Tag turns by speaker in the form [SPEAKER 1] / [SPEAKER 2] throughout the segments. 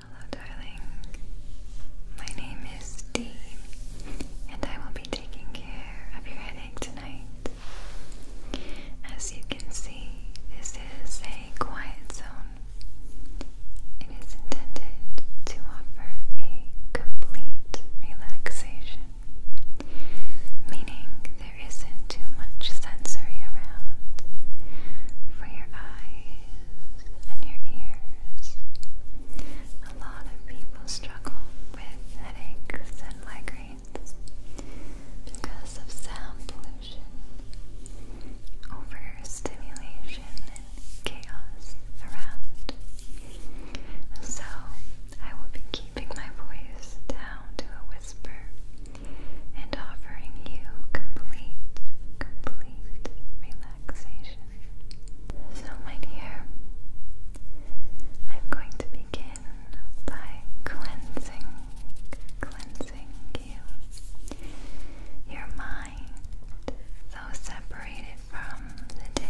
[SPEAKER 1] Hello, darling. My name is Dee, and I will be taking care of your headache tonight. As you can see, this is a quiet zone. It is intended to offer a complete relaxation relaxation, meaning there isn't too much sensory around for your eyes and your ears. A lot of people struggle with headaches and migraines because of sound pollution, overstimulation, and chaos around. So I will be keeping my voice down to a whisper and offering you complete, complete relaxation. So, my dear, I'm going to begin by cleansing, cleansing you, your mind, though separated from the day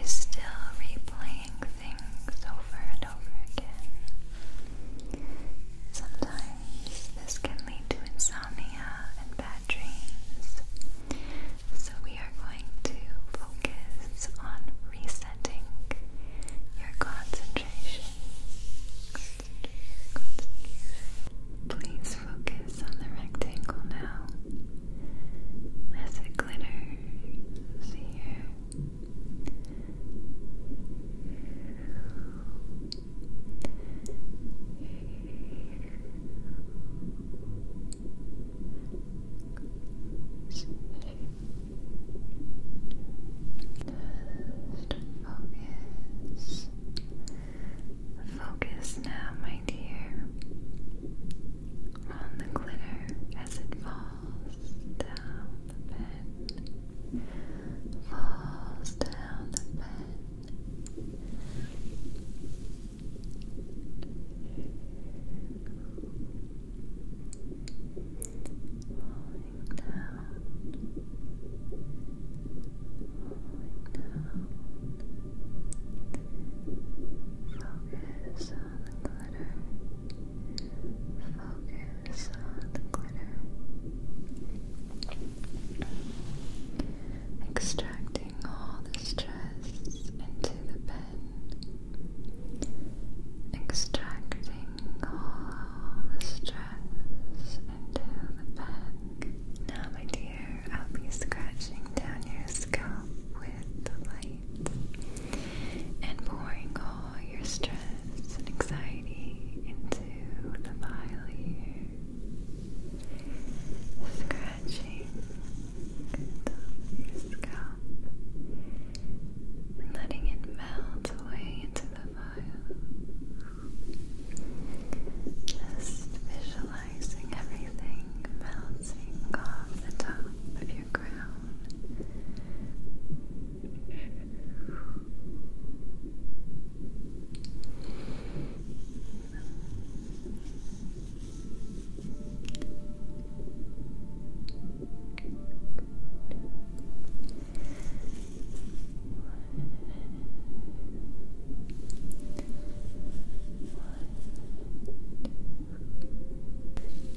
[SPEAKER 1] is still replaying things over and over again. Sometimes this can lead to insomnia and bad dreams, so we are going to focus on resetting your concentration. Please focus on the rectangle now as it glitters here. focus. Focus now, my dear on the glitter as it falls down the pen, falls down the pen, falling down, falling down. Focus on the glitter. Focus on the glitter. Extracting all the stress into the pen. Extracting all the stress into the pen. Now, my dear, I'll be scratching down your scalp with the light and pouring all your stress and anxiety into the vial here. Scratching the of your scalp and letting it melt away into the vial. Just visualize visualizing everything melting off the top of your crown.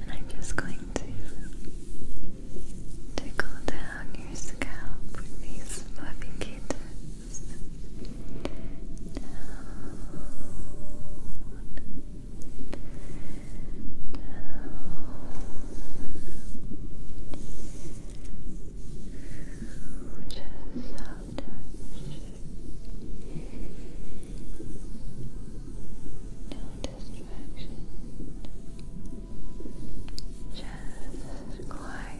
[SPEAKER 1] And I'm just going to tickle down your scalp with these fluffy kittens. Down. Down. Just love touch. No distraction. Just quiet.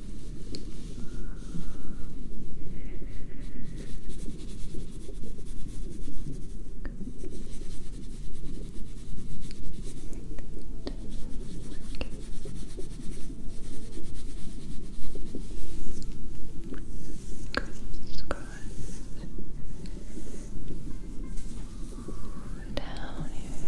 [SPEAKER 1] Down here.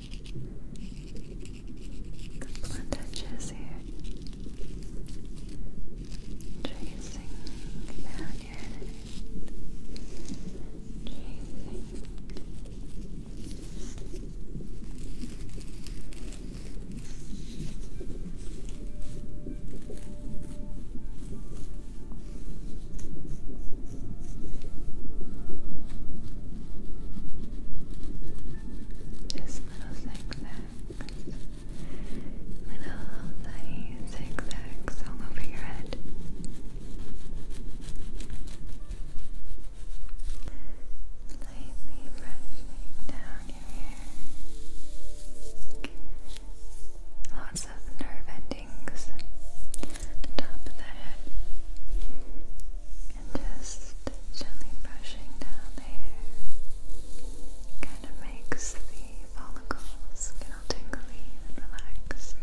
[SPEAKER 1] Good blunt edges here. Tracing down your head. Just little zigzags. Little tiny zigzags all over your head. Lightly brushing down your hair. Lots of nerve endings at top of the head and just gently brushing down the kind of makes the follicles get tingly and relaxed.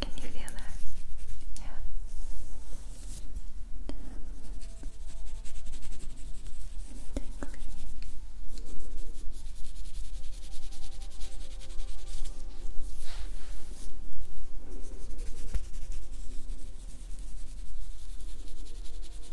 [SPEAKER 1] Can you feel that? Yeah.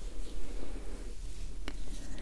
[SPEAKER 1] same thing on this side.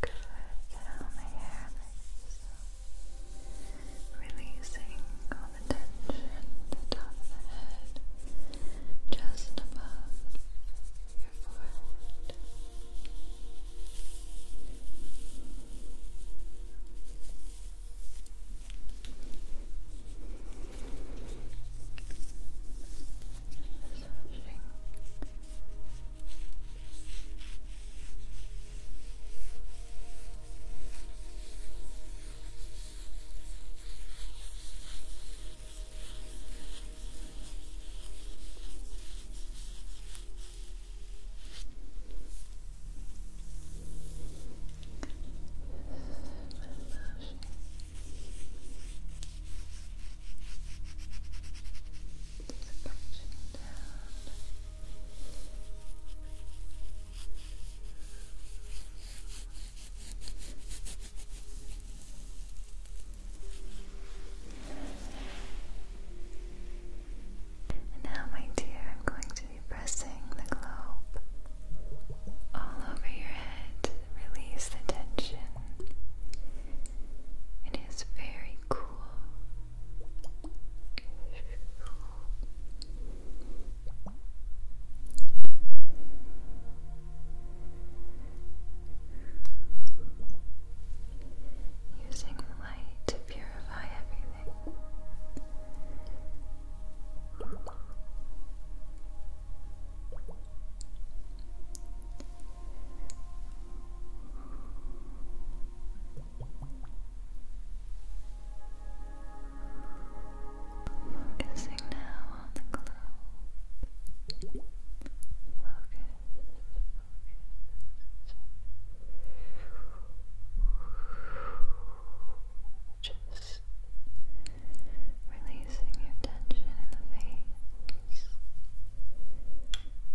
[SPEAKER 1] Good. Down the hair, releasing all the tension at the top of the head, just above your forehead. Massaging Massaging now, my dear, I'm going to be pressing the globe all over your head. Release the tension it is very cool. Using light to purify everything. Focusing now on the globe. Focus, focus. Just releasing your tension in the face. Relaxing the face,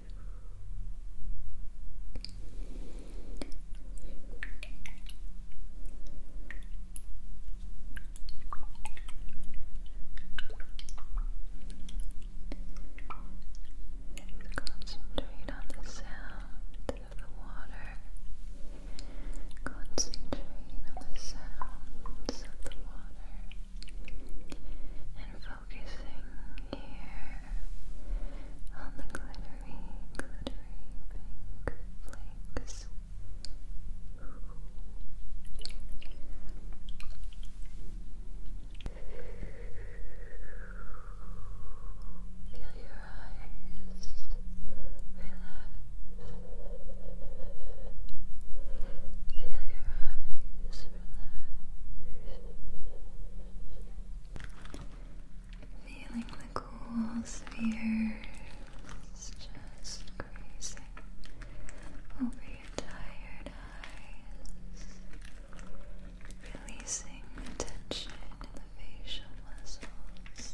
[SPEAKER 1] Concentrate on the sound of the water. Concentrate on the sounds of the water focusing here on the glittery, glittery flakes. Feel your eyes relax. Feel your eyes relax. Feeling the cool spheres just grazing over your tired eyes, releasing the tension in the facial muscles.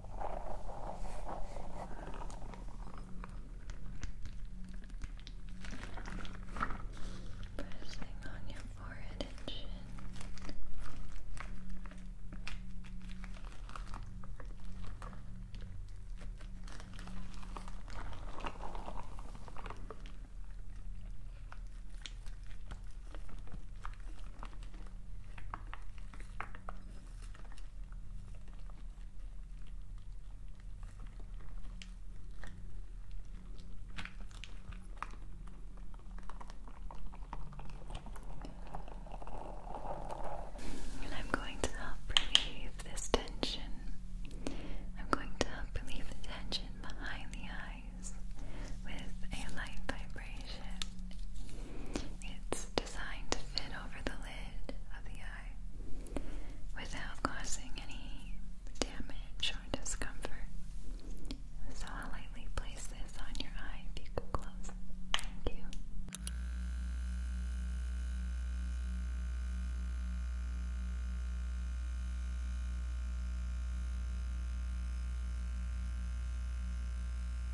[SPEAKER 1] Pressing on your forehead and chin. Good. And I'm going to help relieve this tension. I'm going to help relieve the tension behind the eyes with a light vibration. It's designed to fit over the lid of the eye without causing any damage or discomfort. So I'll lightly place this on your eye if you could close. Thank you.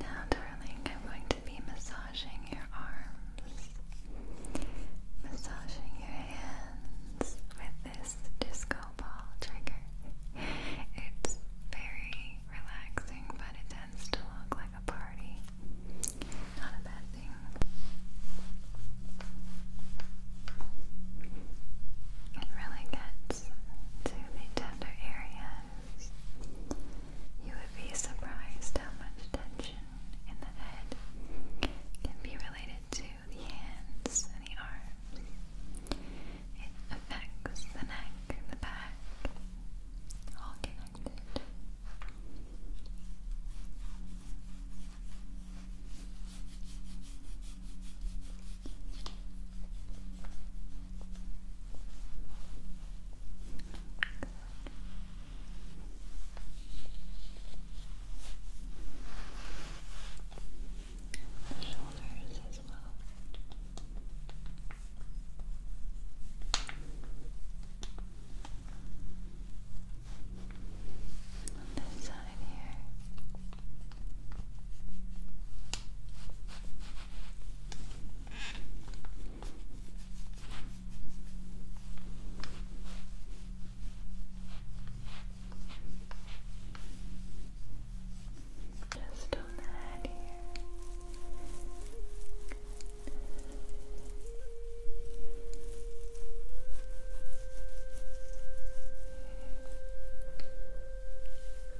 [SPEAKER 1] Now, darling, I'm going to be massaging your arms, massaging your hands with this disco ball trigger. It's very relaxing, but it tends to look like a party. Not a bad thing. It really gets hands to the tender areas, you would be surprised how much tension in the head can be related to the hands and the arms. It affects the neck the back, all connected. Shoulders as well. this side here. Just on the head here. Good.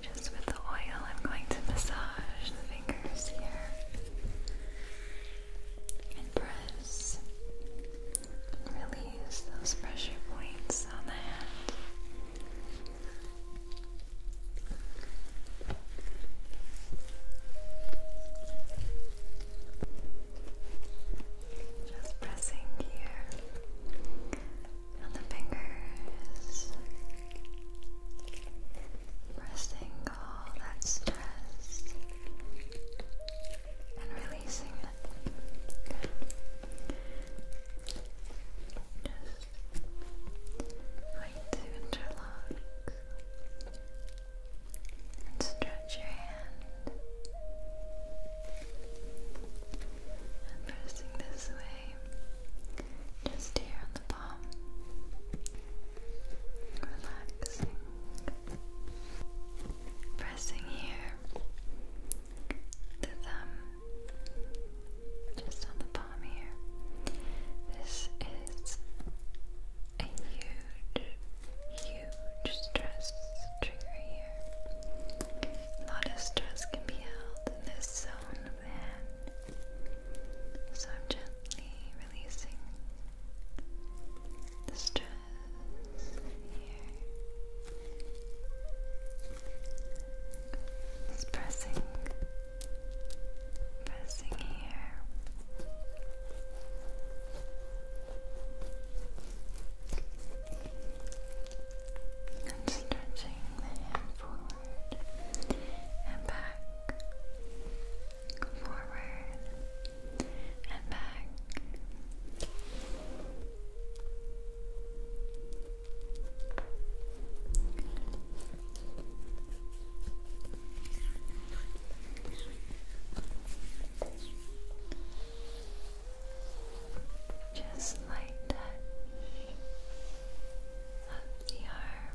[SPEAKER 1] Just with the oil, I'm going to massage the fingers here and press release those pressure points on the hand. Just pressing here on the fingers, pressing all that stress and releasing it. Going to interlock and stretch your hand pressing this way, just here on the palm, relaxing, pressing here, the thumb just on the palm here. This is a huge, huge stress trigger here. A lot of stress can be held in this zone of the hand. So I'm gently releasing the stress here. It's pressing here. And stretching the hand forward and back, forward and back. Just like touch of the arm.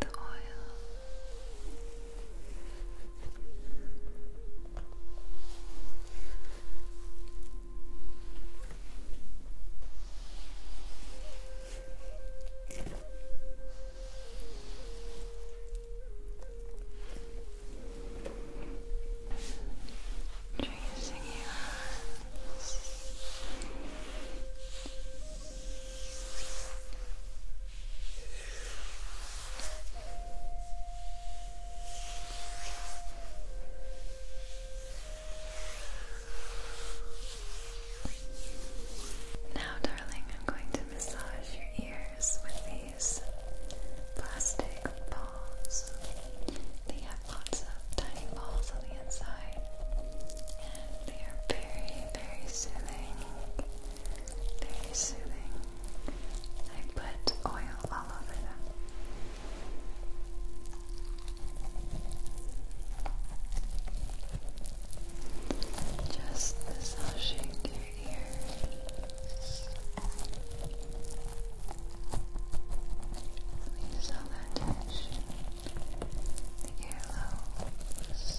[SPEAKER 1] the oil Tracing your arms. Now, darling, I'm going to massage your ears with these plastic balls. They have lots of tiny balls on the inside, and they are very, very soothing. Very soothing. I put oil all over them. Just massaging your ears. Release that tension. earlobes.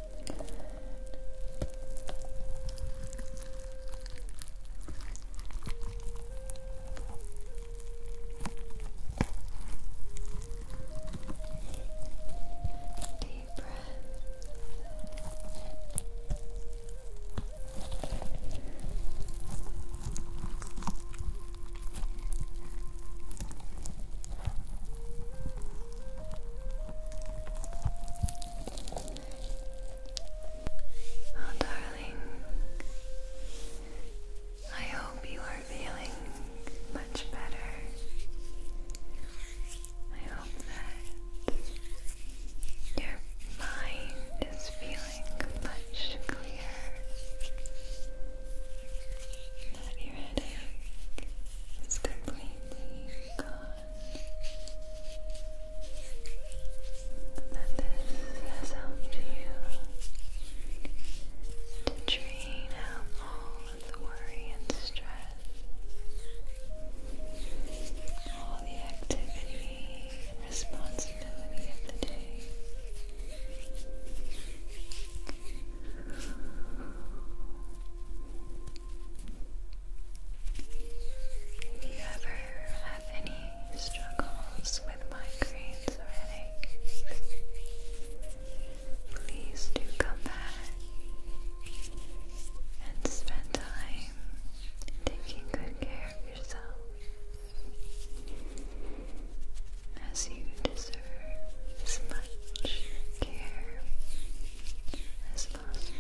[SPEAKER 1] Deep breath. Deep Oh, darling, I hope you are feeling much better. I hope that your mind is feeling much clearer, that your headache is completely gone that this has helped you to drain out all the worry and stress, all the activity and responsibility of the day. Do you ever have any struggles with migraines or headaches? Please do come back and spend time taking good care of yourself as you deserve as much care as possible.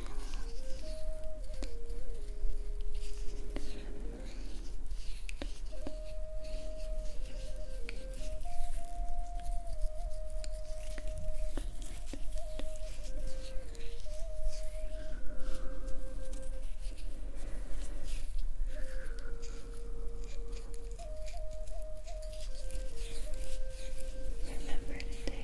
[SPEAKER 1] Remember to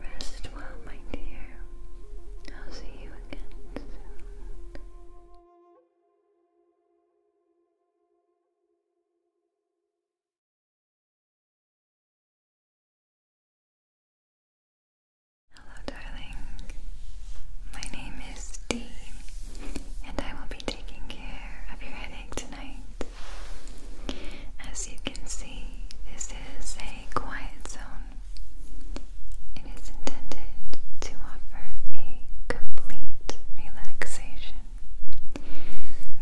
[SPEAKER 1] Rest well, my dear. I'll see you again Hello, darling. My name is Dee, and I will be taking care of your headache tonight. As you can see, this is a quiet zone. It is intended to offer a complete relaxation,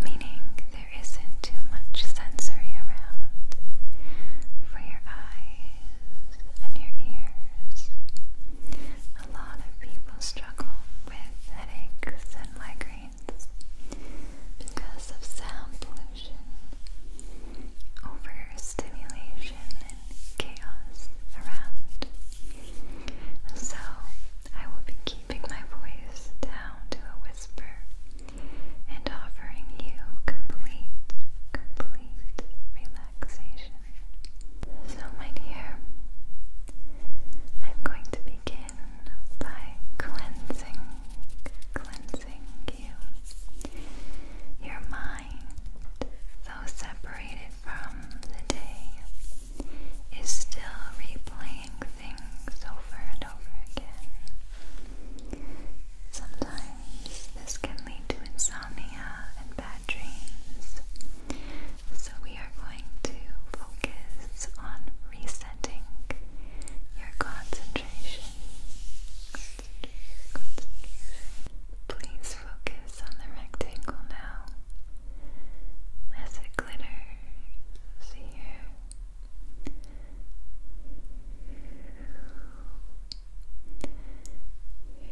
[SPEAKER 1] meaning there isn't too much sensory around for your eyes and your ears a lot of people struggle with headaches and migraines because of sound pollution, overstimulation, and chaos around. So, I will be keeping my voice down to a whisper and offering you complete, complete relaxation. So, my dear, I'm going to begin by cleansing, cleansing you, your mind, though separated from the day, is still replaying things over and over again. Sometimes this can lead to insomnia and bad dreams. So, we are going to focus on resetting your concentration. Please focus on the rectangle now as it glitters here. Now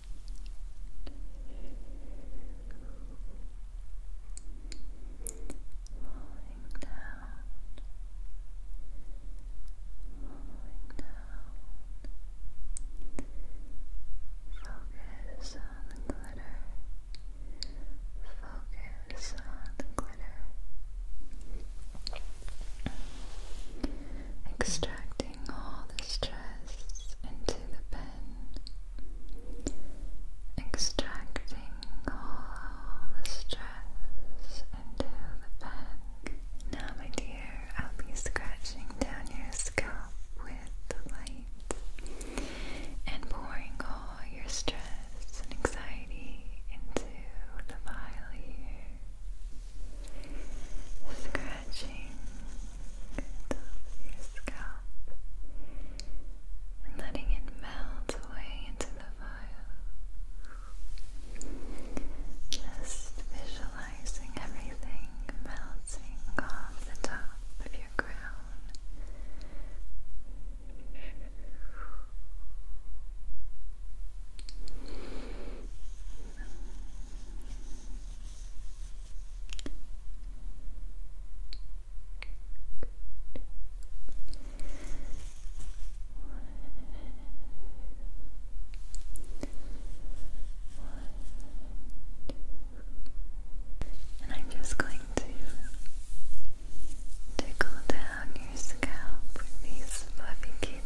[SPEAKER 1] falling down, falling down. Focus on the glitter. Focus on the glitter extracting all the stress into the pen, extracting all the stress into the pen. Now, my dear, I'll be scratching down your scalp with the light and pouring all your stress and anxiety into the vial here. Scratching scratching the your scalp and letting it melt away into the fire. Just visualizing everything melting off the top of your crown. And I'm just going to tickle down your scalp with these fluffy kittens.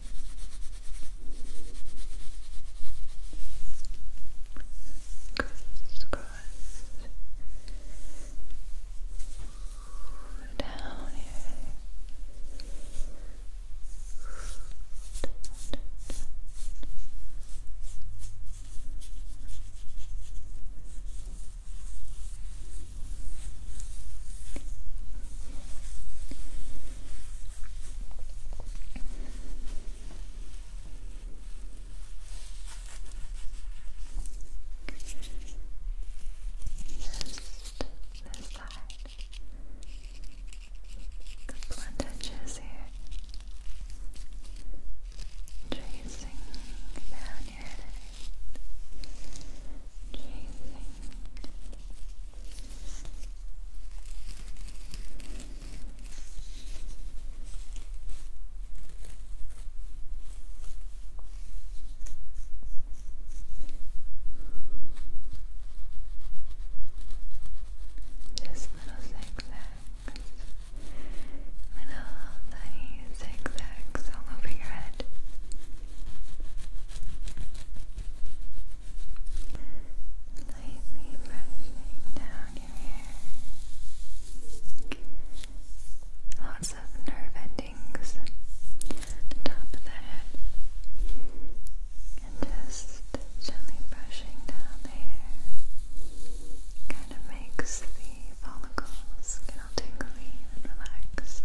[SPEAKER 1] Cross, cross. Down here. Down, down, down this side. The blunt edges here. Tracing down your head. Tracing just little zigzags, little tiny zigzags all over your head lightly brushing down your hair. Lots of nerve endings top of the head. And just gently brushing down the kind of makes the follicles get tingly and relaxed.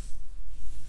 [SPEAKER 1] Same thing on this side.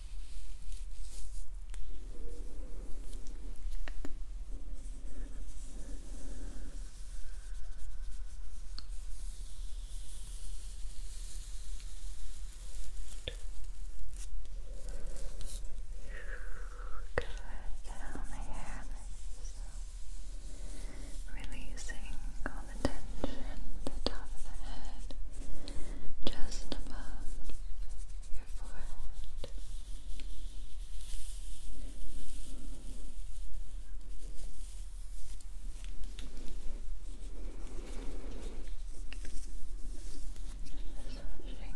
[SPEAKER 1] down the hair releasing all the tension at the top of the head just above your forehead. Massaging. Massaging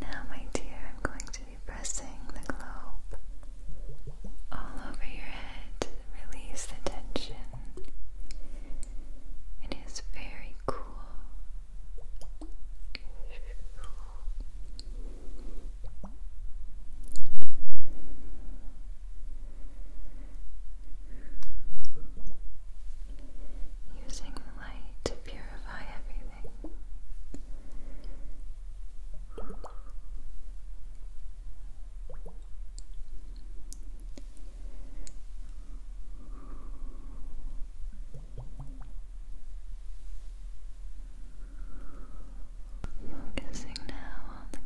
[SPEAKER 1] now, my dear, I'm going to be pressing the globe all over your head. Release the tension. It is very cool. Using the light to purify everything. Focusing now on the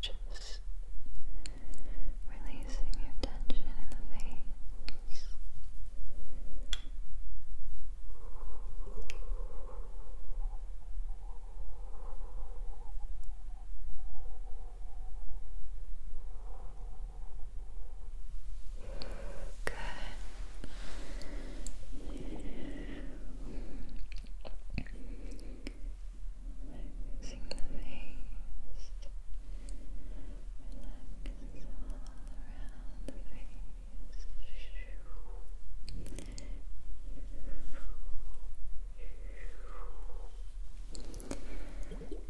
[SPEAKER 1] Just releasing your tension in the face. Good. Relaxing the face. Relax all around the face. Good.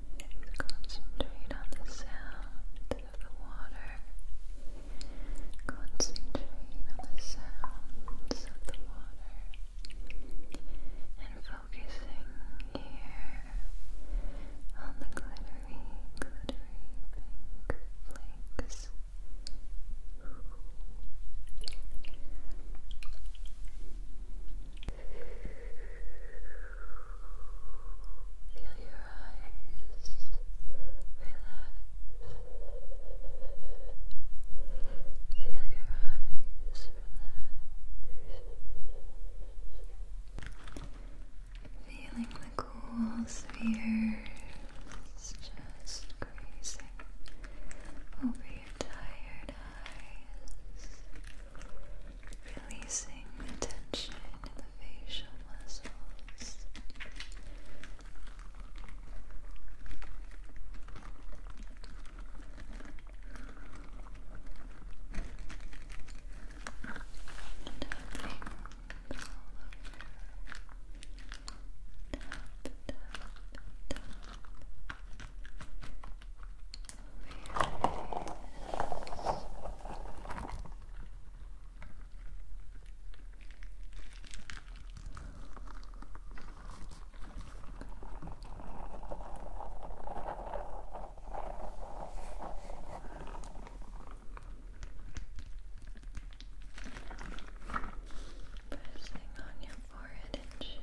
[SPEAKER 1] Just concentrate on the sound of the water. Concentrate on the sounds of the water. And focusing here on the glittery, glittery flakes. Feel your eyes relax. Feeling the cool spheres just grazing over your tired eyes. Releasing the tension in the facial muscles. And tapping all over. Pressing on your forehead and chin.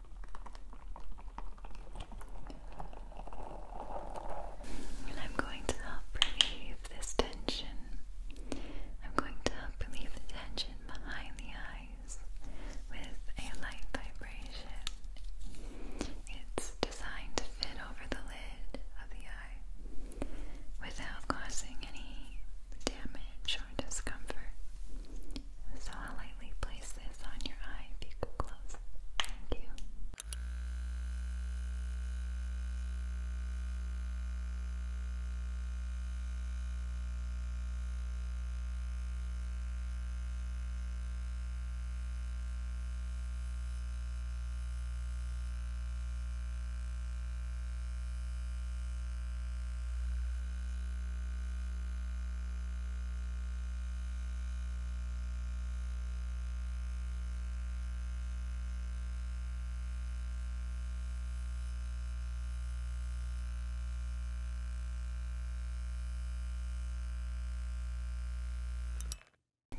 [SPEAKER 1] And I'm going to help relieve this tension. I'm going to help relieve the tension behind the eyes with a light vibration. It's designed to fit over the lid of the eye without causing any damage or discomfort. So I'll lightly place this on your eye if you could close. Thank you.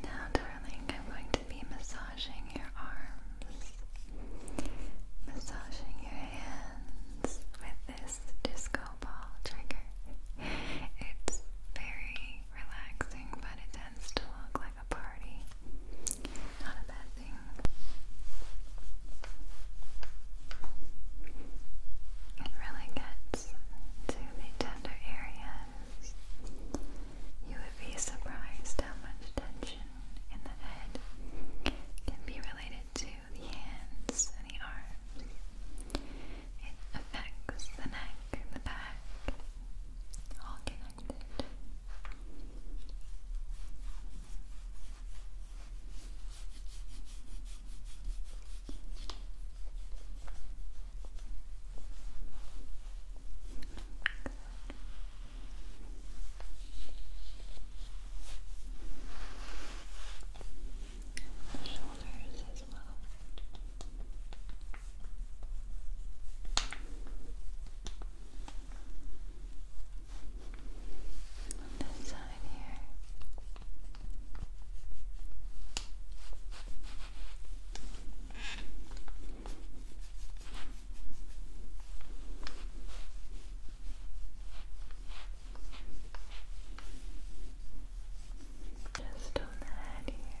[SPEAKER 1] Now, darling, I'm going to be massaging your arms, massaging your hands with this disco ball trigger. It's very relaxing, but it tends to look like a party. Not a bad thing. It really gets to the tender areas. You would be surprised how much tension in the head can be related to the hands and the arms. It affects the neck, the back, all connected the shoulders as well. this side here. Just on the head here.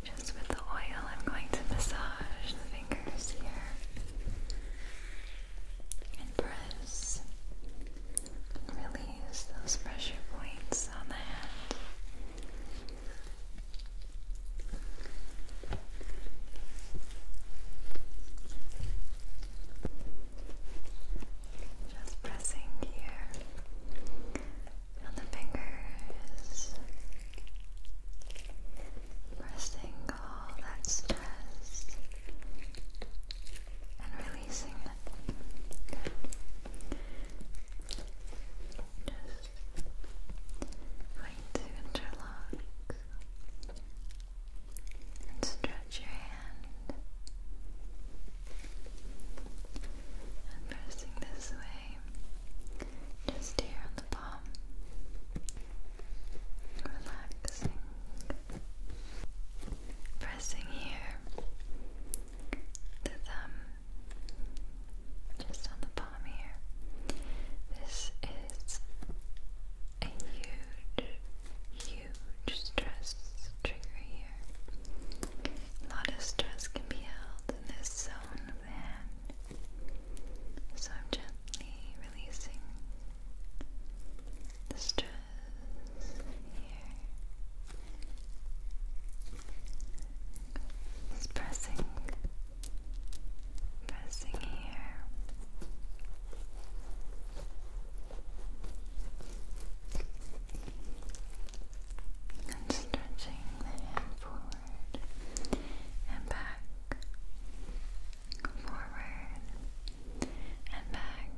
[SPEAKER 1] Just with the oil, I'm going to massage the fingers here and press release those pressure points on the hand. Just pressing here on the fingers, resting all that stress and releasing it. Just going to interlock and stretch your hand. And pressing this way just here on the palm. Relaxing. Pressing here. The thumb. Just on the palm here. This is a huge, huge stress trigger here. A lot of stress can be held in this zone of the hand. So I'm gently releasing the stress here. pressing, pressing here. And stretching the hand forward and back, forward and back.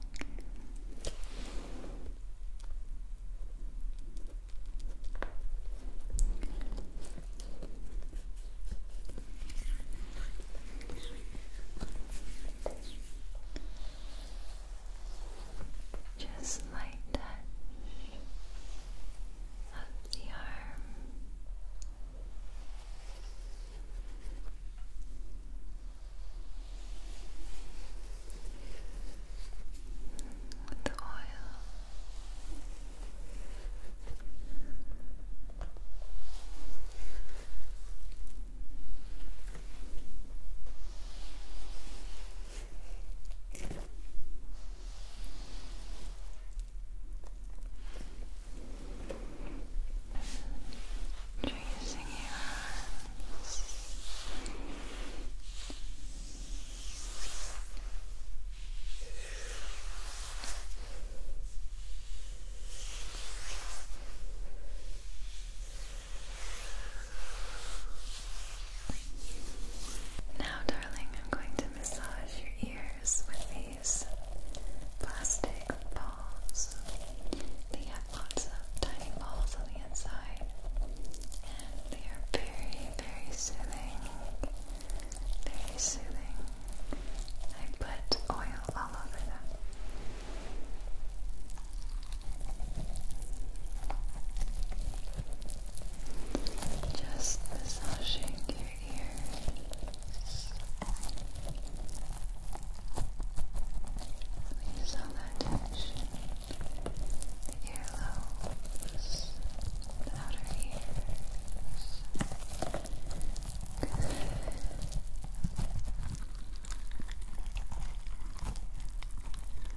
[SPEAKER 1] Just like that of the arm. the oil. Tracing your arms. Now, darling, I'm going to massage your ears with these plastic balls. They have lots of tiny balls on the inside, and they are very, very soothing. Very soothing. I put oil all over them. Just massaging your ears. Release that tension. The the outer ears.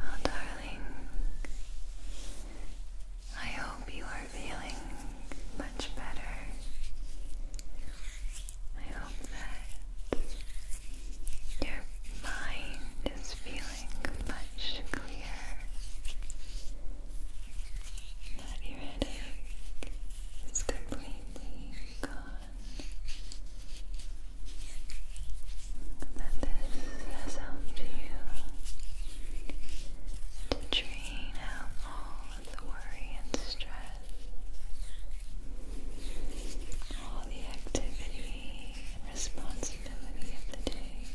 [SPEAKER 1] Oh, darling, I hope you are feeling much better. I hope that your mind is feeling much clearer, that your headache is completely gone, that this has helped you to drain out all the worry and stress, all the activity and responsibility of the day.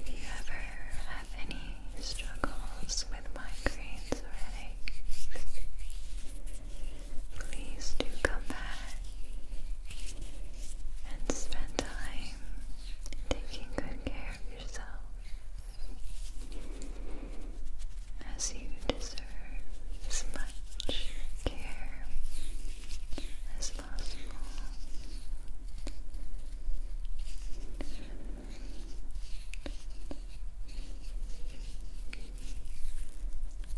[SPEAKER 1] If you ever have any struggles with migraines or headaches, please do come back and spend time taking good care of yourself as you deserve as much care as possible.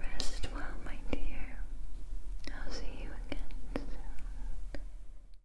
[SPEAKER 1] Rest well, my dear. I'll see you again soon.